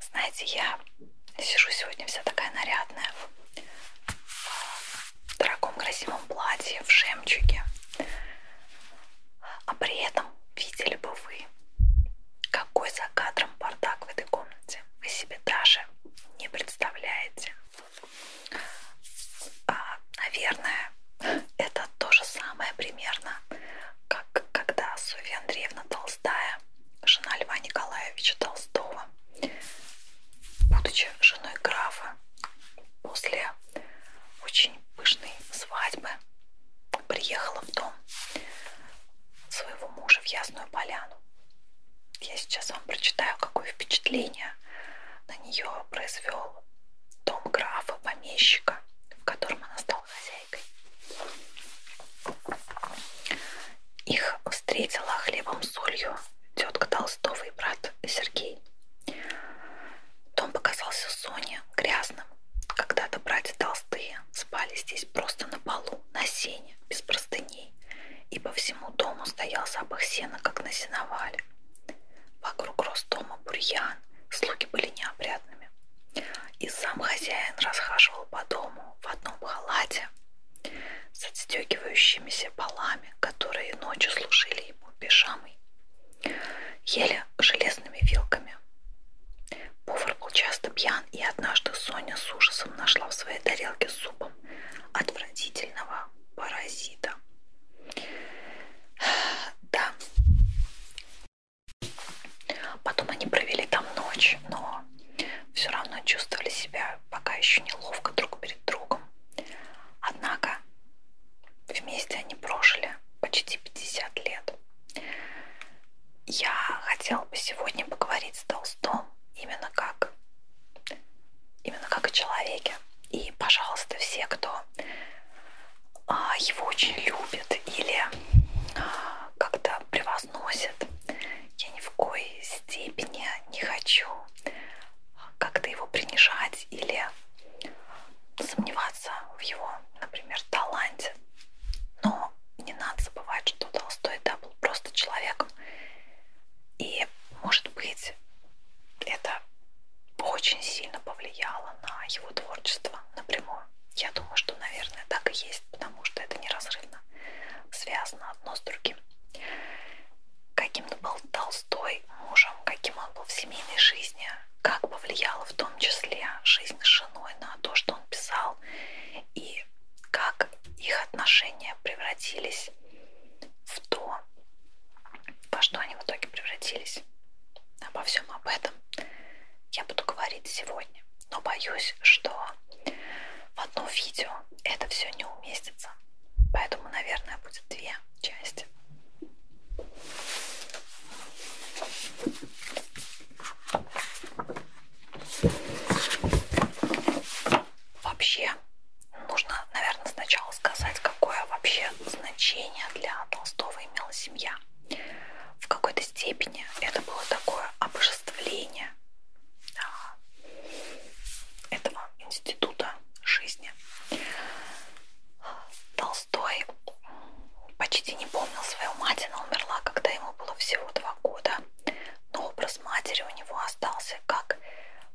Знаете, я сижу сегодня вся такая нарядная в э, дорогом красивом платье, в жемчуге. А при этом видели бы вы, какой за кадром бардак в этой комнате. Вы себе даже не представляете. А, наверное, это то же самое примерно как когда Софья Андреевна Толстая, жена Льва Николаевича Толстого, будучи женой графа, после очень пышной свадьбы приехала в дом своего мужа в Ясную Поляну. Я сейчас вам прочитаю, какое впечатление на нее произвел дом графа, помещика, в котором она стала стал хозяйкой. Их встретила хлебом с солью тетка Толстого и брат Сергей. Дом показался Соне грязным. Когда-то братья Толстые спали здесь просто на полу, на сене, без простыней. И по всему дому стоял запах сена, как на сеновале. Вокруг рос дома бурьян, слуги были неопрятными. И сам хозяин расхаживал по дому в одном халате с отстегивающимися полами, которые ночью служили ему пижамой, еле железными вилками. Повар был часто пьян, и однажды Соня с ужасом нашла в своей тарелке с супом отвратительного паразита. Да, Потом они провели там ночь, но все равно чувствовали себя пока еще неловко друг перед другом. Однако вместе они прожили почти 50 лет. Я хотела бы сегодня поговорить с Толстом именно как, именно как о человеке. И, пожалуйста, все, кто а, его очень любят или а, как-то превозносят, я ни в коей степени не хочу как-то его принижать или сомневаться в его, например, таланте. Но не надо забывать, что Толстой да, был просто человеком. И, может быть, это очень сильно повлияло на его творчество напрямую. Я думаю, что, наверное, так и есть, потому что это неразрывно связано одно с другим. Каким был Толстой мужем, каким он был в семейной жизни, как повлияла в том числе жизнь с женой на то, что он писал, и как их отношения превратились в то, во что они в итоге превратились. Обо всем об этом я буду говорить сегодня. Но боюсь, что в одно видео это все не уместится. Поэтому, наверное, будет две части. Вообще, нужно, наверное, сначала сказать, какое вообще значение для Толстого имела семья в какой-то степени это было такое обожествление этого института жизни. Толстой почти не помнил свою мать, она умерла, когда ему было всего два года. Но образ матери у него остался как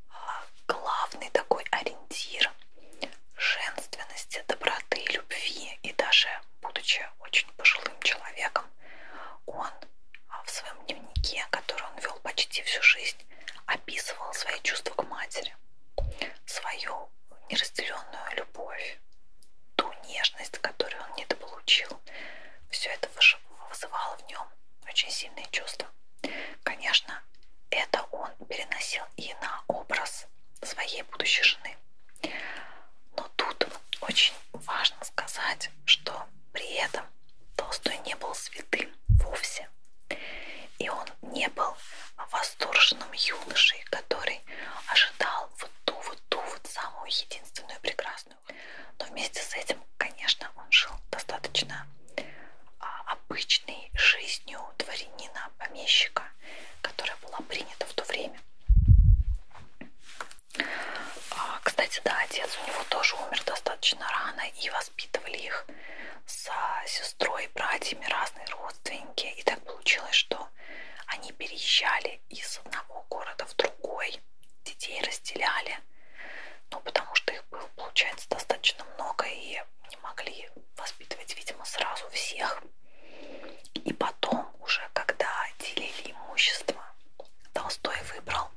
а, главный такой ориентир женственности, доброты, любви. И даже будучи очень пожилым человеком, он а, в своем дневнике, который он вел почти всю жизнь, описывал свои чувства к матери, свою неразделенную любовь, ту нежность, которую он недополучил. Все это вызывало в нем очень сильные чувства. Конечно, это он переносил и на образ своей будущей жены. Но тут очень важно сказать, что при этом Толстой не был святым вовсе. И он не был восторженным юношей, который ожидал вот ту, вот ту, вот самую единственную прекрасную. Но вместе с этим, конечно, он жил достаточно а, обычной жизнью дворянина, помещика, которая была принята в то время. А, кстати, да, отец у него тоже умер достаточно рано, и воспитывали их с сестрой, братьями, разные родственники. И так получилось, что они переезжали из одного города в другой, детей разделяли, ну, потому что их было, получается, достаточно много, и не могли воспитывать, видимо, сразу всех. И потом уже, когда делили имущество, Толстой выбрал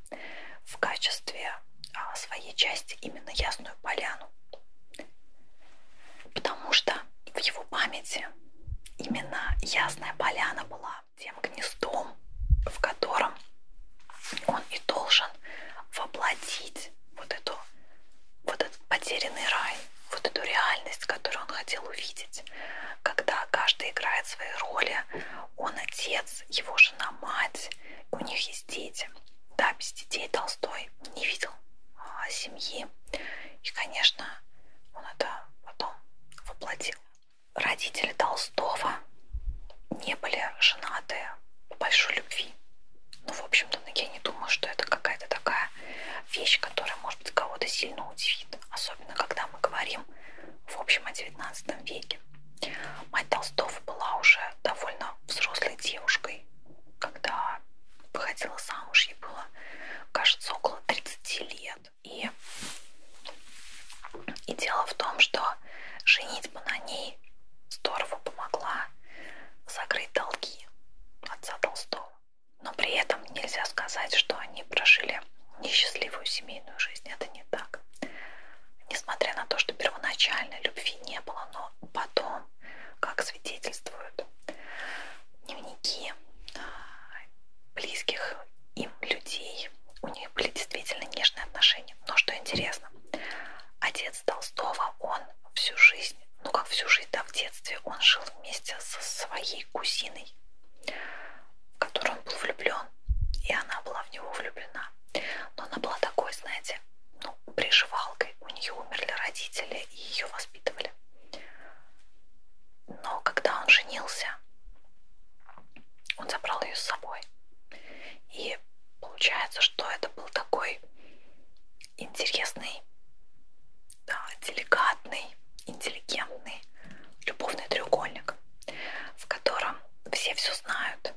в качестве а, своей части именно Ясную Поляну, потому что в его памяти именно Ясная Поляна была тем гнездом, в котором он и должен воплотить вот эту вот этот потерянный рай, вот эту реальность, которую он хотел увидеть, когда каждый играет свои роли, он отец, его жена мать, у них есть дети. Да, без детей Толстой не видел а, семьи. И, конечно, он это потом воплотил. Родители Толстого не были женаты по большой любви. Ну, в общем, что я не думаю, что это какая-то такая вещь, которая, может быть, кого-то сильно удивит. Особенно, когда мы говорим, в общем, о 19 веке. Мать Толстого была уже довольно взрослой девушкой, когда выходила замуж, ей было, кажется, около 30 лет. И, и дело в том, что женитьба на ней здорово помогла закрыть долги отца Толстого но при этом нельзя сказать, что они прожили несчастливую семейную жизнь. Это не так. Несмотря на то, что первоначально любви не было, но потом, как свидетельствуют дневники а, близких им людей, у них были действительно нежные отношения. Но что интересно, отец Толстого, он всю жизнь ну как всю жизнь, да, в детстве он жил вместе со своей кузиной, в которую он был влюблен, и она была в него влюблена. Но она была такой, знаете, ну, приживалкой. У нее умерли родители и ее воспитывали. Но когда он женился, он забрал ее с собой. И получается, что это был такой интересный да, деликатный, интеллигентный любовный треугольник, в котором все все знают,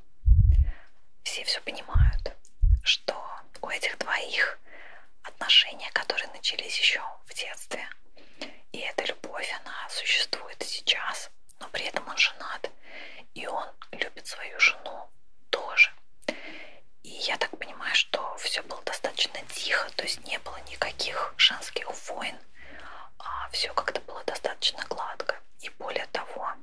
все все понимают, что у этих двоих отношения, которые начались еще в детстве, и эта любовь, она существует и сейчас, но при этом он женат, и он любит свою жену тоже. И я так понимаю, что все было достаточно тихо, то есть не было никаких женских войн, а все как-то было достаточно гладко. И более того,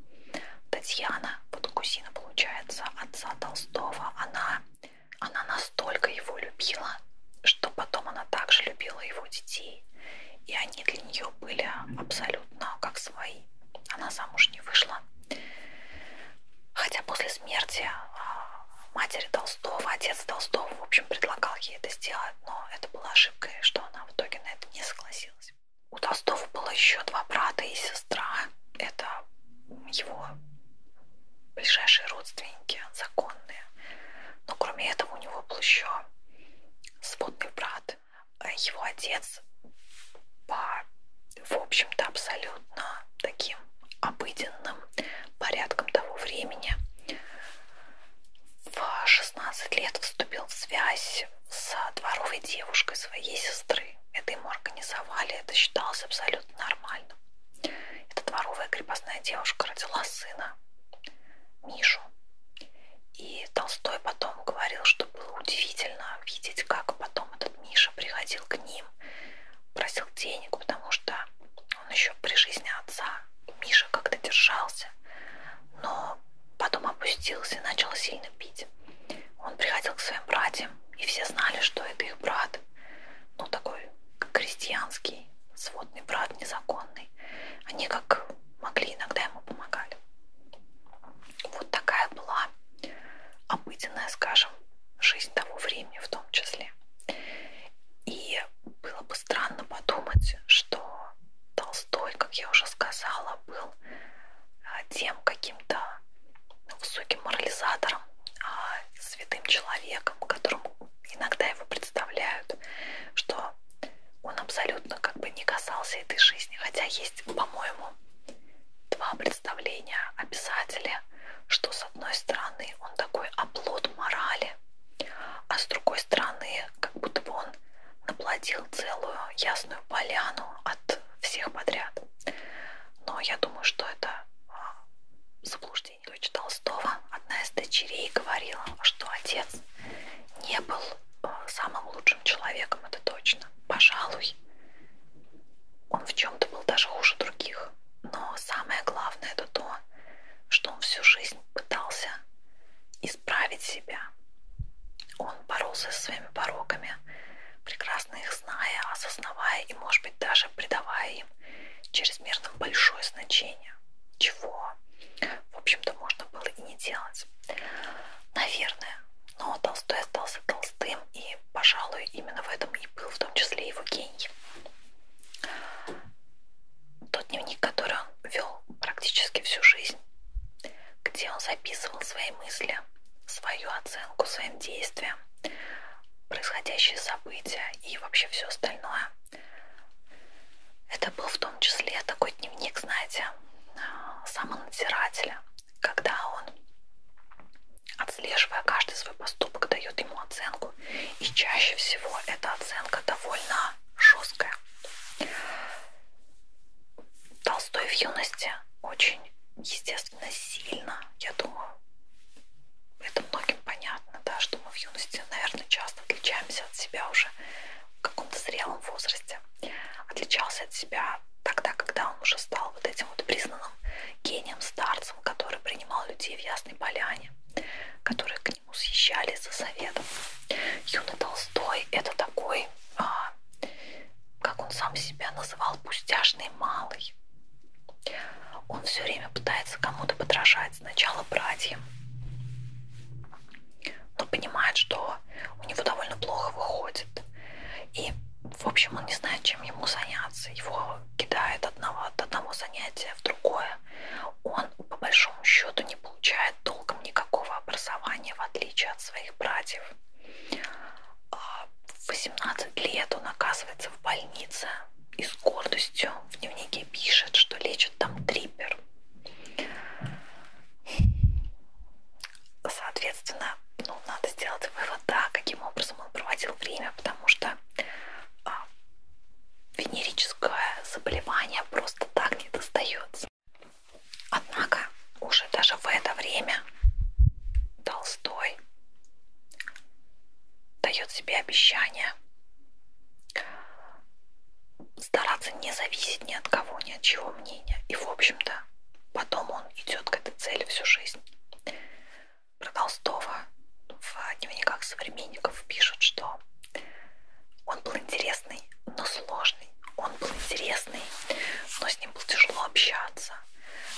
Татьяна, вот кузина получается отца Толстого, она, она настолько его любила, что потом она также любила его детей. И они для нее были абсолютно как свои. Она замуж не вышла, Хотя после смерти а, матери Толстого, отец Толстого, в общем, предлагал ей это сделать, но это была ошибкой, что она в итоге на это не согласилась. У Толстого было еще два брата и сестра. Это его ближайшие родственники, законные. Но кроме этого у него был еще сводный брат. Его отец по в общем-то, абсолютно таким обыденным порядком того времени. В 16 лет вступил в связь с дворовой девушкой своей сестры. Это ему организовали, это считалось абсолютно нормальным. Эта дворовая крепостная девушка родила сына Мишу. И Толстой потом говорил, что было удивительно видеть, как потом этот Миша приходил к ним просил денег, потому что он еще при жизни отца Миша как-то держался, но потом опустился и начал сильно пить. Он приходил к своим братьям, и все знали, что это их брат, ну такой крестьянский, сводный брат, незаконный. Они как могли, иногда ему помогали. Вот такая была обыденная, скажем, жизнь того времени в том числе. И было бы странно подумать, что Толстой, как я уже сказала, был а, тем каким-то высоким морализатором, а, святым человеком, которым иногда его представляют, что он абсолютно как бы не касался этой жизни. Хотя есть, по-моему, два представление о писателе, что с одной стороны он такой оплот морали, а с другой стороны как будто бы он наплодил целую ясную поляну от всех подряд. Но я думаю, что это а, заблуждение. Дочь Толстого, одна из дочерей, говорила, что отец не был а, самым лучшим человеком, это точно. Пожалуй, он в чем-то был даже хуже других. Но самое главное это то, что он всю жизнь пытался исправить себя. Он боролся со своими пороками, прекрасно их зная, осознавая и, может быть, даже придавая им чрезмерно большое значение, чего, в общем-то, можно было и не делать. Наверное. Но Толстой остался Толстой Толстым, и, пожалуй, именно в этом и был в том числе его гений. Тот дневник, который он вел практически всю жизнь, где он записывал свои мысли, свою оценку своим действиям, происходящие события и вообще все остальное. Это был в том числе такой дневник, знаете, самонадзирателя, когда он отслеживая каждый свой поступок, дает ему оценку. И чаще всего эта оценка довольно жесткая. Толстой в юности очень, естественно, сильно, я думаю, это многим понятно, да, что мы в юности, наверное, часто отличаемся от себя уже в каком-то зрелом возрасте. Отличался от себя тогда, когда он уже стал вот этим вот признанным гением, стар полководцем, который принимал людей в Ясной Поляне, которые к нему съезжали за советом. Юный Толстой – это такой, а, как он сам себя называл, пустяшный малый. Он все время пытается кому-то подражать, сначала братьям, но понимает, что у него довольно плохо выходит. И в общем, он не знает, чем ему заняться. Его кидает одного, от одного занятия в другое. Он, по большому счету, не получает толком никакого образования, в отличие от своих братьев. А, в 18 лет он оказывается в больнице и с гордостью в дневнике пишет, что лечит там трипер. Соответственно, ну, надо сделать вывод, да, каким образом он проводил время, потому что такое а, венерическое заболевание просто так не достается. Однако уже даже в это время Толстой дает себе обещание стараться не зависеть ни от кого, ни от чего мнения. И, в общем-то, потом он идет к этой цели всю жизнь про Толстого в дневниках современников пишут, что он был интересный, но сложный. Он был интересный, но с ним было тяжело общаться.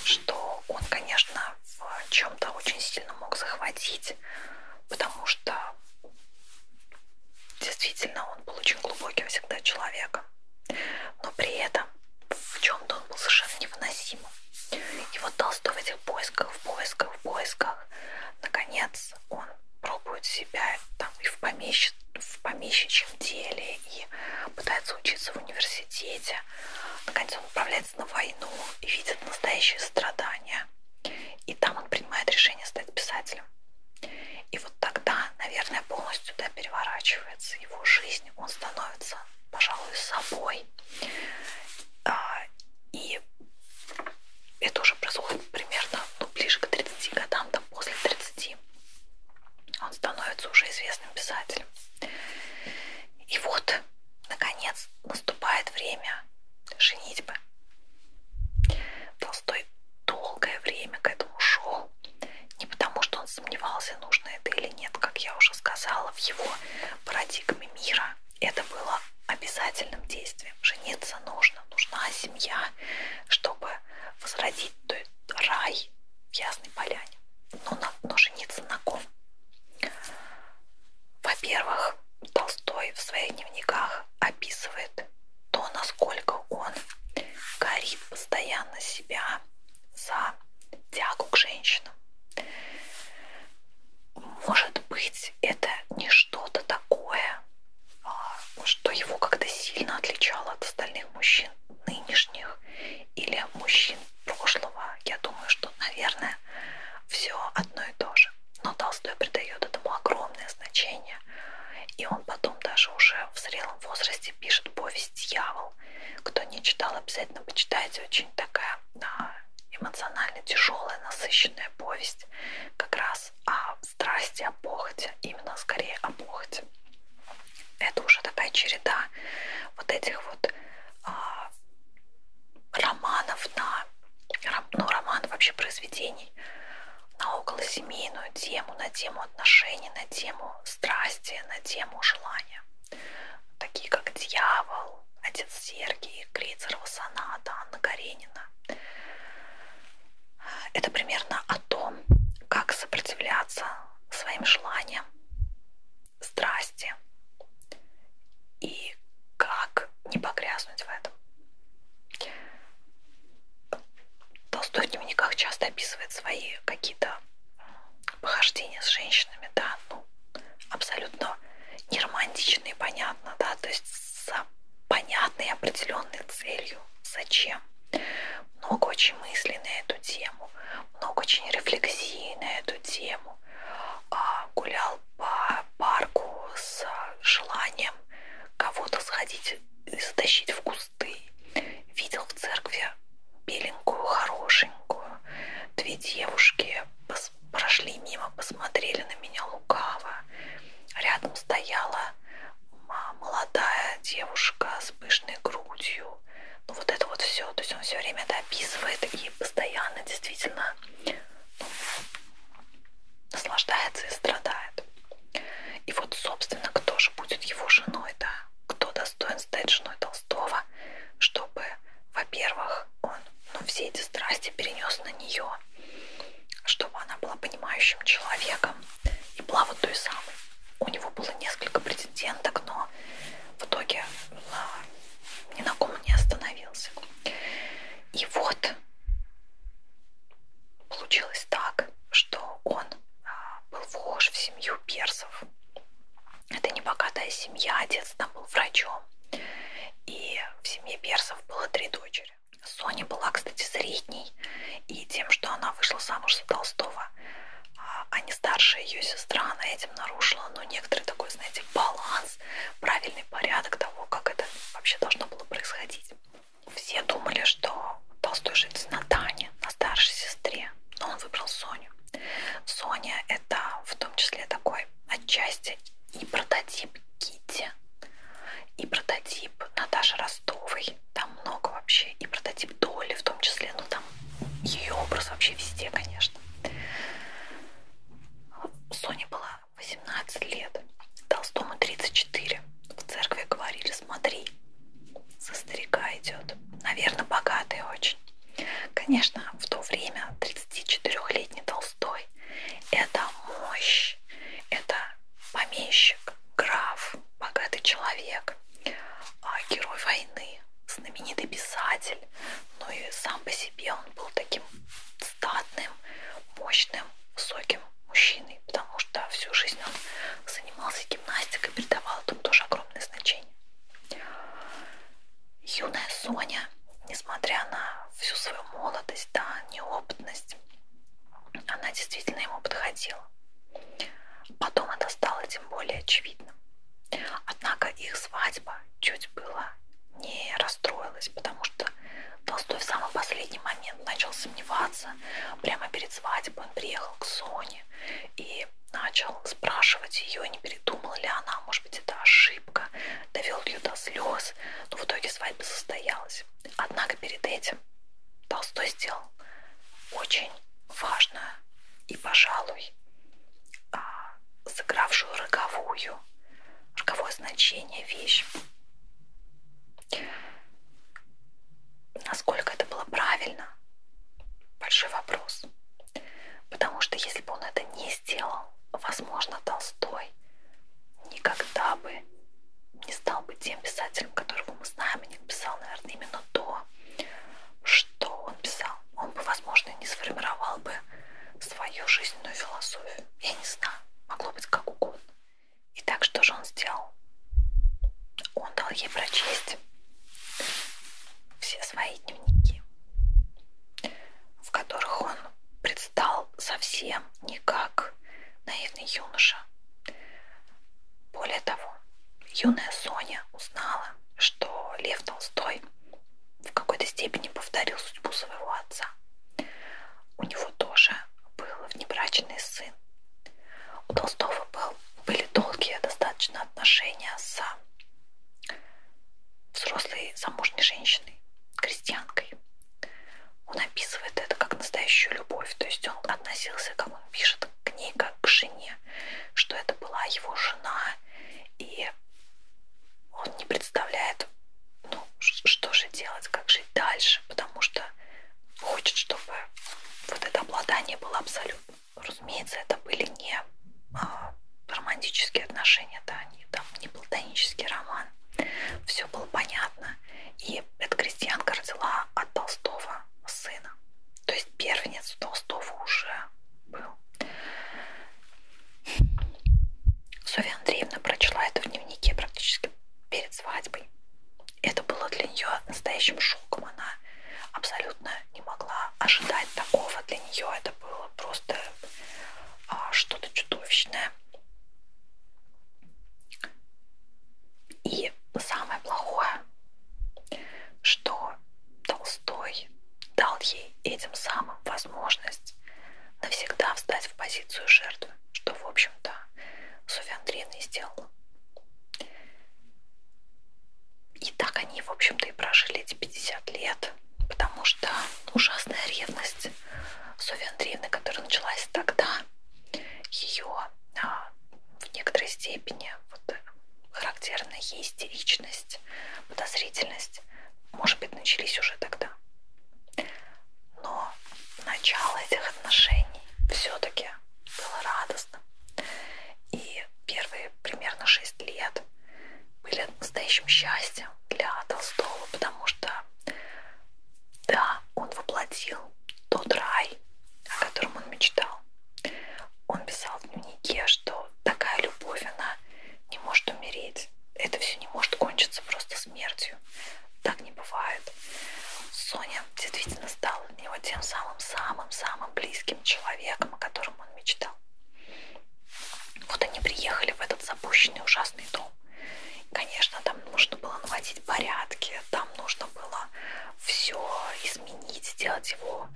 Что он, конечно, в чем-то очень сильно мог захватить, потому что действительно он был очень глубоким всегда человеком. Но при этом в чем-то он был совершенно невыносимым. И вот что в этих поисках, в поисках, в поисках, наконец он пробует себя там и в, помещ... в помещичьем деле, и пытается учиться в университете. Наконец он отправляется на войну и видит настоящие страдания. И там он принимает решение стать писателем. И вот тогда, наверное, полностью да, переворачивается его жизнь. Он становится пожалуй, с собой. А, и это уже происходит примерно ну, ближе к 30 годам, там после 30. Он становится уже известным писателем. И вот, наконец, наступает время женитьбы. Толстой долгое время к этому шел. Не потому, что он сомневался, нужно это или нет, как я уже сказала, в его парадигме мира это было обязательным действием. Жениться нужно, нужна семья, чтобы возродить рай в Ясной Поляне. Но, на, но жениться на ком? Во-первых, Толстой в своих дневниках описывает то, насколько он горит постоянно себя за тягу к женщинам. Может быть, это не что-то такое, а, что его как-то сильно отличало от остальных мужчин нынешних или мужчин прошлого. Я думаю, что, наверное, все одно и то же. Но Толстой придает этому огромное значение. И он потом даже уже в зрелом возрасте пишет повесть «Дьявол». Кто не читал, обязательно почитайте. Очень такая эмоционально тяжелая, насыщенная повесть как раз о страсти, о похоти, именно скорее о похоти. Это уже такая череда вот этих вот а, романов на ну, роман вообще произведений на околосемейную тему, на тему отношений, на тему страсти, на тему желания такие как «Дьявол», «Отец Сергий», «Крицерова соната», «Анна Каренина». Это примерно о том, как сопротивляться своим желаниям, страсти и как не погрязнуть в этом. Толстой в дневниках часто описывает свои какие-то похождения с женщинами, да, ну, абсолютно не романтичные, понятно, да, то есть с понятной определенной целью. Зачем? Много очень мыслей на эту тему, много очень рефлексий на эту тему. А, гулял по парку с желанием кого-то сходить и затащить в кусты. Видел в церкви беленькую, хорошенькую. Две девушки прошли мимо, посмотрели на меня лукаво. Рядом стояла молодая девушка с пышной грудью. Ну вот это вот все. То есть он все время это описывает и постоянно действительно ну, наслаждается и страдает. И вот, собственно, кто же будет его женой, да? Кто достоин стать женой Толстого, чтобы, во-первых, он ну, все эти страсти перенес на нее, чтобы она была понимающим человеком и была вот той самой. У него было несколько претенденток, но в итоге ни на ком не остановился. И вот получилось так, что он а, был вхож в семью персов это небогатая семья, отец там был врачом. И в семье персов было три дочери. Соня была, кстати, средней, и тем, что она вышла замуж за Толстого, а, а не старшая ее сестра, она этим нарушила, ну, некоторый такой, знаете, баланс, правильный порядок того, как это вообще должно было происходить. Все думали, что Толстой женится на Тане, на старшей сестре, но он выбрал Соню. Соня это в том числе такой отчасти и прототип Кити, и прототип Наташи Ростовой. Там много вообще, и прототип Доли в том числе, ну там ее образ вообще везде, конечно. Соня была 18 лет, Толстому 34. В церкви говорили, смотри, со старика идет. Наверное, богатый очень. Конечно, в то время 34-летний Толстой – это мощь, это помещик, граф, богатый человек, а, герой войны, знаменитый писатель. Но ну и сам по себе он был таким статным, мощным, высоким мужчиной, потому что всю жизнь он занимался гимнастикой, придавал этому тоже огромное значение юная Соня, несмотря на всю свою молодость, да, неопытность, она действительно ему подходила. Потом это стало тем более очевидным. Однако их свадьба чуть было не расстроилась, потому что Толстой в самый последний момент начал сомневаться. Прямо перед свадьбой он приехал к Соне и начал спрашивать ее, не передумала ли она, может быть, это ошибка, довел ее до слез, но в итоге свадьба состоялась. Однако перед этим Толстой сделал очень важную и, пожалуй, а, сыгравшую роковую, роковое значение вещь. Насколько это было правильно, большой вопрос. Потому что если бы он это не сделал, возможно, Толстой никогда бы не стал бы тем писателем, которого мы знаем, и не писал, наверное, именно то, что он писал. Он бы, возможно, не сформировал бы свою жизненную философию. Я не знаю, могло быть как угодно. И так что же он сделал? Он дал ей прочесть все свои дневники в которых он предстал совсем не как наивный юноша. Более того, юная Соня узнала, что Лев Толстой в какой-то степени повторил судьбу своего отца. У него тоже был внебрачный сын. У Толстого был, были долгие достаточно отношения с взрослой замужней женщиной, крестьянкой. Он описывает это как настоящую любовь, то есть он относился, как он пишет, к ней как к жене, что это была его жена, и он не представляет, ну, что же делать, как жить дальше, потому что хочет, чтобы вот это обладание было абсолютно. Разумеется, это были это не а, романтические отношения, да, не, там, не платонический роман. Все было понятно. И эта крестьянка родила от Толстого сына. То есть первенец Толстого уже был. Софья Андреевна прочла это в дневнике практически перед свадьбой. Это было для нее настоящим шоком. Она абсолютно не могла ожидать такого. Для нее это было просто а, что-то чудовищное. И самое плохое, что Толстой дал ей этим самым возможность навсегда встать в позицию жертвы, что, в общем-то, Софья Андреевна и сделала. И так они, в общем-то, и прожили эти 50 лет, потому что ужасная ревность Софьи Андреевны, которая началась тогда, ее а, в некоторой степени вот, э, характерна ей истеричность, подозрительность, может быть, начались уже тогда. Но начало этих отношений все-таки было радостным. И первые примерно 6 лет были настоящим счастьем для Толстого, потому что, да, он воплотил тот рай, о котором он мечтал. Он писал в дневнике, что такая любовь, она не может умереть. Это все не может кончиться просто смертью. Так не бывает. Соня действительно стала для него тем самым-самым-самым близким человеком, о котором он мечтал видел. Вот они приехали в этот запущенный ужасный дом. Конечно, там нужно было наводить порядки, там нужно было все изменить, сделать его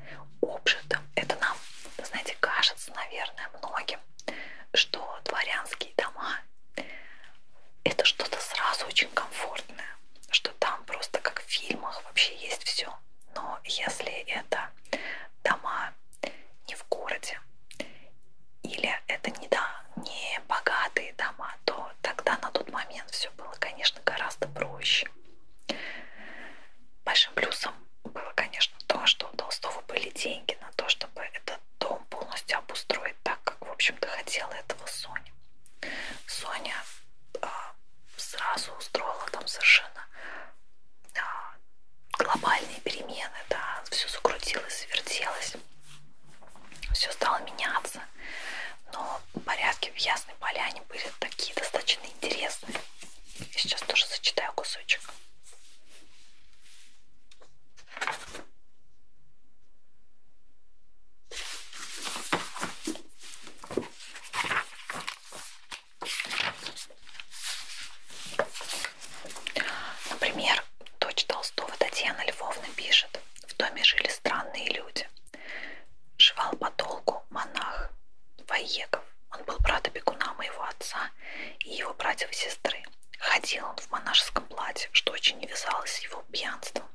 общим. Это нам, знаете, кажется, наверное, многим, что дворянские дома это что-то сразу очень комфортное, что там просто как в фильмах вообще есть все. Но если это дома не в городе, или это не, да, не богатые дома, то тогда на тот момент все было, конечно, гораздо проще. Большим плюсом было, конечно, то, что у Толстого были деньги на то, чтобы этот дом полностью обустроить так, как, в общем-то, хотела этого Соня. Соня а, сразу устроила там совершенно глобальные перемены, да, все закрутилось, вертелось, все стало меняться, но порядки в Ясной Поляне были такие достаточно интересные. Я сейчас тоже зачитаю кусочек. Например, дочь Толстого Татьяна Львовна пишет, в доме жили странные люди. Жевал по долгу монах Воеков. Он был брат бегуна моего отца и его братьев и сестры. Ходил он в монашеском платье, что очень не вязалось с его пьянством.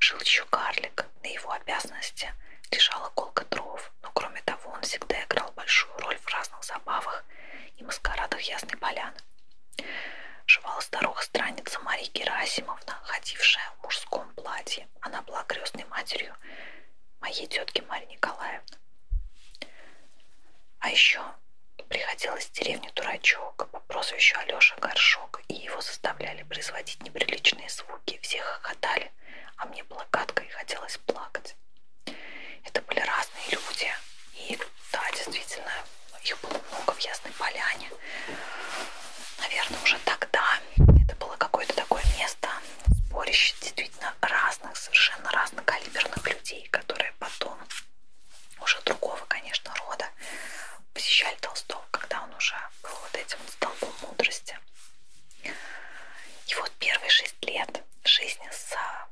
Жил еще карлик, на его обязанности лежала колка дров языков, но кроме того он всегда играл большую роль в разных забавах и маскарадах Ясной Поляны. Жевала старуха страница Марии Герасимовна, ходившая в мужском платье. Она была крестной матерью моей тетки Марии Николаевны. А еще приходил из деревни дурачок по прозвищу Алеша Горшок, и его заставляли производить неприличные звуки. Всех хохотали, а мне было гадко и хотелось плакать. Это были разные люди. И да, действительно, их было много в Ясной Поляне. Наверное, уже тогда это было какое-то такое место, сборище действительно разных, совершенно разнокалиберных людей, которые потом уже другого, конечно, рода посещали Толстого, когда он уже был вот этим столбом мудрости. И вот первый же 6 лет жизни с а,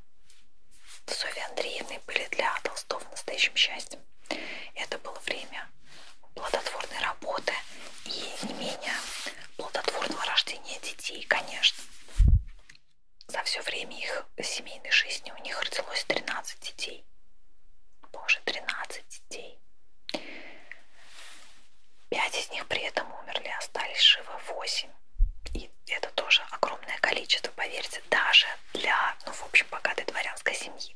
Софьей Андреевной были для Толстого настоящим счастьем. Это было время плодотворной работы и не менее плодотворного рождения детей, конечно. За все время их семейной жизни у них родилось 13 детей. Боже, 13 детей. Пять из них при этом умерли, остались живы восемь. И это тоже огромное количество, поверьте, даже для, ну, в общем, богатой дворянской семьи.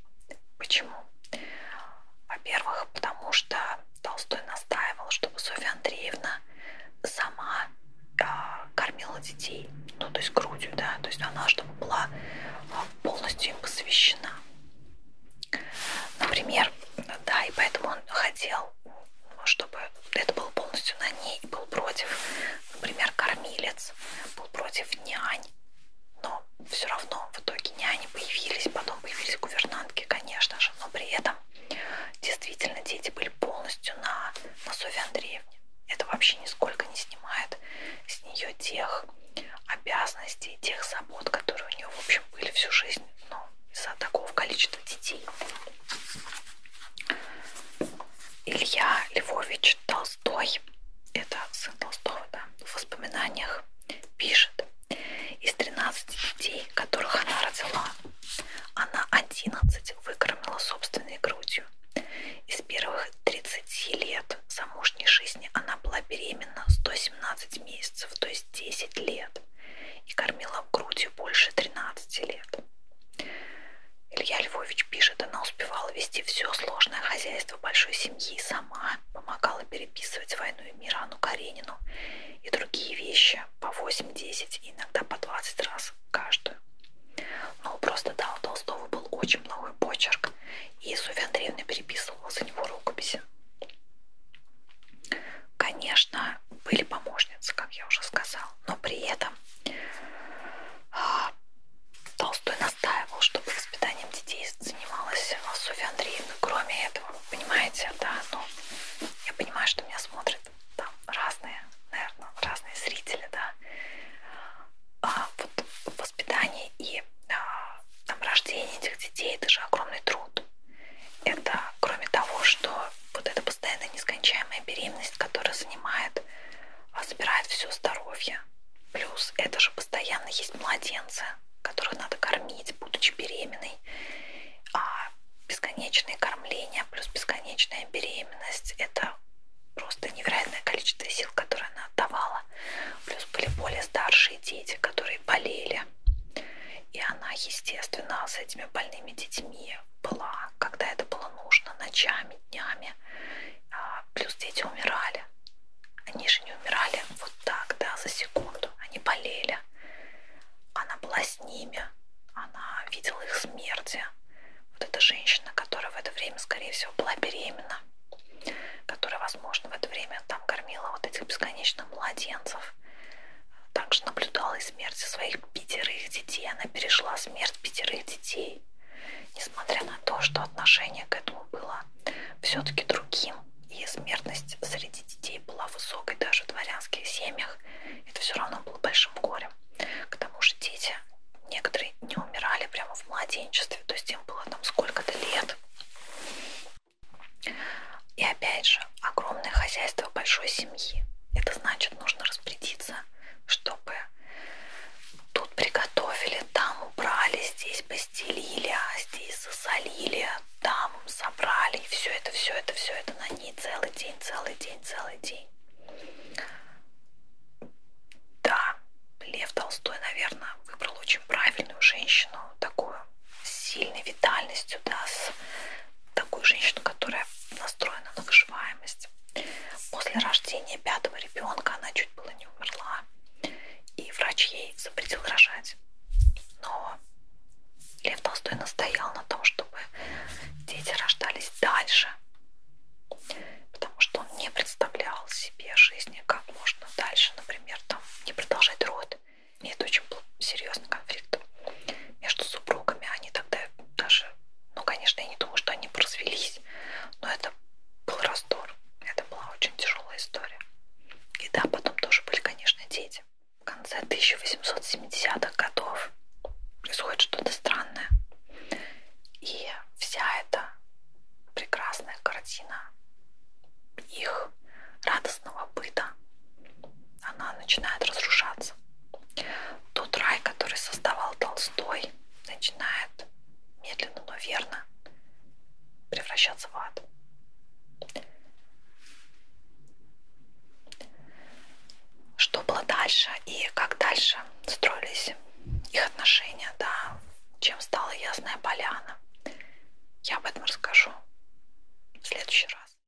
Почему? Во-первых, потому что Толстой настаивал, чтобы Софья Андреевна сама э, кормила детей, ну, то есть грудью, да, то есть она, чтобы была а, полностью им посвящена. Например, да, и поэтому он хотел чтобы это было полностью на ней, был против, например, кормилец, был против нянь, но все равно в итоге няни появились, потом появились гувернантки, конечно же, но при этом действительно дети были полностью на, на Софье Андреевне. Это вообще нисколько не снимает с нее тех обязанностей, тех забот, которые у нее, в общем, были всю жизнь, но из-за такого количества детей. Илья Львович Толстой, это сын Толстого, да, в воспоминаниях пишет, из 13 детей, которых она родила, она 11 выкормила собственной грудью. Из первых 30 лет замужней жизни она была беременна 117 месяцев, то есть 10 лет лет и кормила грудью больше 13 лет. Илья Львович пишет, она успевала вести все сложное хозяйство большой семьи сама, помогала переписывать «Войну и мир» Анну Каренину и другие вещи по 8-10 и иногда по 20 раз каждую. Но у просто да, у Толстого был очень плохой почерк, и Софья Андреевна переписывала за него рукописи. Конечно, конечно, были помощницы, как я уже сказала, но при этом а, Толстой настаивал, чтобы воспитанием детей занималась Софья Андреевна. Кроме этого, понимаете, да, ну, я понимаю, что меня смотрят там разные, наверное, разные зрители, да. А вот воспитание и а, там рождение этих детей, это же огромный труд. Это кроме того, что вот эта постоянная нескончаемая беременность, которая занимает, а, забирает все здоровье. Плюс это же постоянно есть младенцы, которых надо кормить, будучи беременной. А бесконечное кормление плюс бесконечная беременность – это просто невероятное количество сил, которые она отдавала. Плюс были более старшие дети, которые болели. И она, естественно, с этими больными детьми была, когда это было нужно, ночами, днями. А, плюс дети умирали. Они же не умирали вот так, да, за секунду. Они болели. Она была с ними. Она видела их смерти. Вот эта женщина, которая в это время, скорее всего, была беременна, которая, возможно, в это время там кормила вот этих бесконечно младенцев. Также наблюдала и смерть своих пятерых детей. Она пережила смерть пятерых детей. Несмотря на то, что отношение к этому было все-таки другим, и смертность среди детей была высокой даже в дворянских семьях, это все равно было большим горем. К тому же дети, некоторые не умирали прямо в младенчестве, то есть им было там сколько-то лет. И опять же, огромное хозяйство большой семьи. Это значит, нужно распорядиться, чтобы тут приготовили, там убрали, здесь постелили, а здесь засолили, там собрали. И все это, все это, все это на ней целый день, целый день, целый день. Да, Лев Толстой, наверное, выбрал очень правильную женщину, такую с сильной витальностью, да, с такую женщину, которая настроена на выживаемость. После рождения пятого ребенка она чуть было не умерла, и врач ей запретил рожать. Но Лев Толстой настоял на том, чтобы дети рождались дальше, потому что он не представлял себе жизни, как можно дальше, например, там не продолжать род и это очень был серьезный конфликт между супругами. Они тогда даже, ну, конечно, я не думаю, что они развелись, но это был раздор. Это была очень тяжелая история. И да, потом тоже были, конечно, дети. В конце 1870-х годов происходит что-то странное. И вся эта прекрасная картина их радостного быта она начинает разрушаться. Тот рай, который создавал Толстой, начинает медленно, но верно превращаться в ад. Что было дальше и как дальше строились их отношения, да, чем стала Ясная Поляна, я об этом расскажу в следующий раз.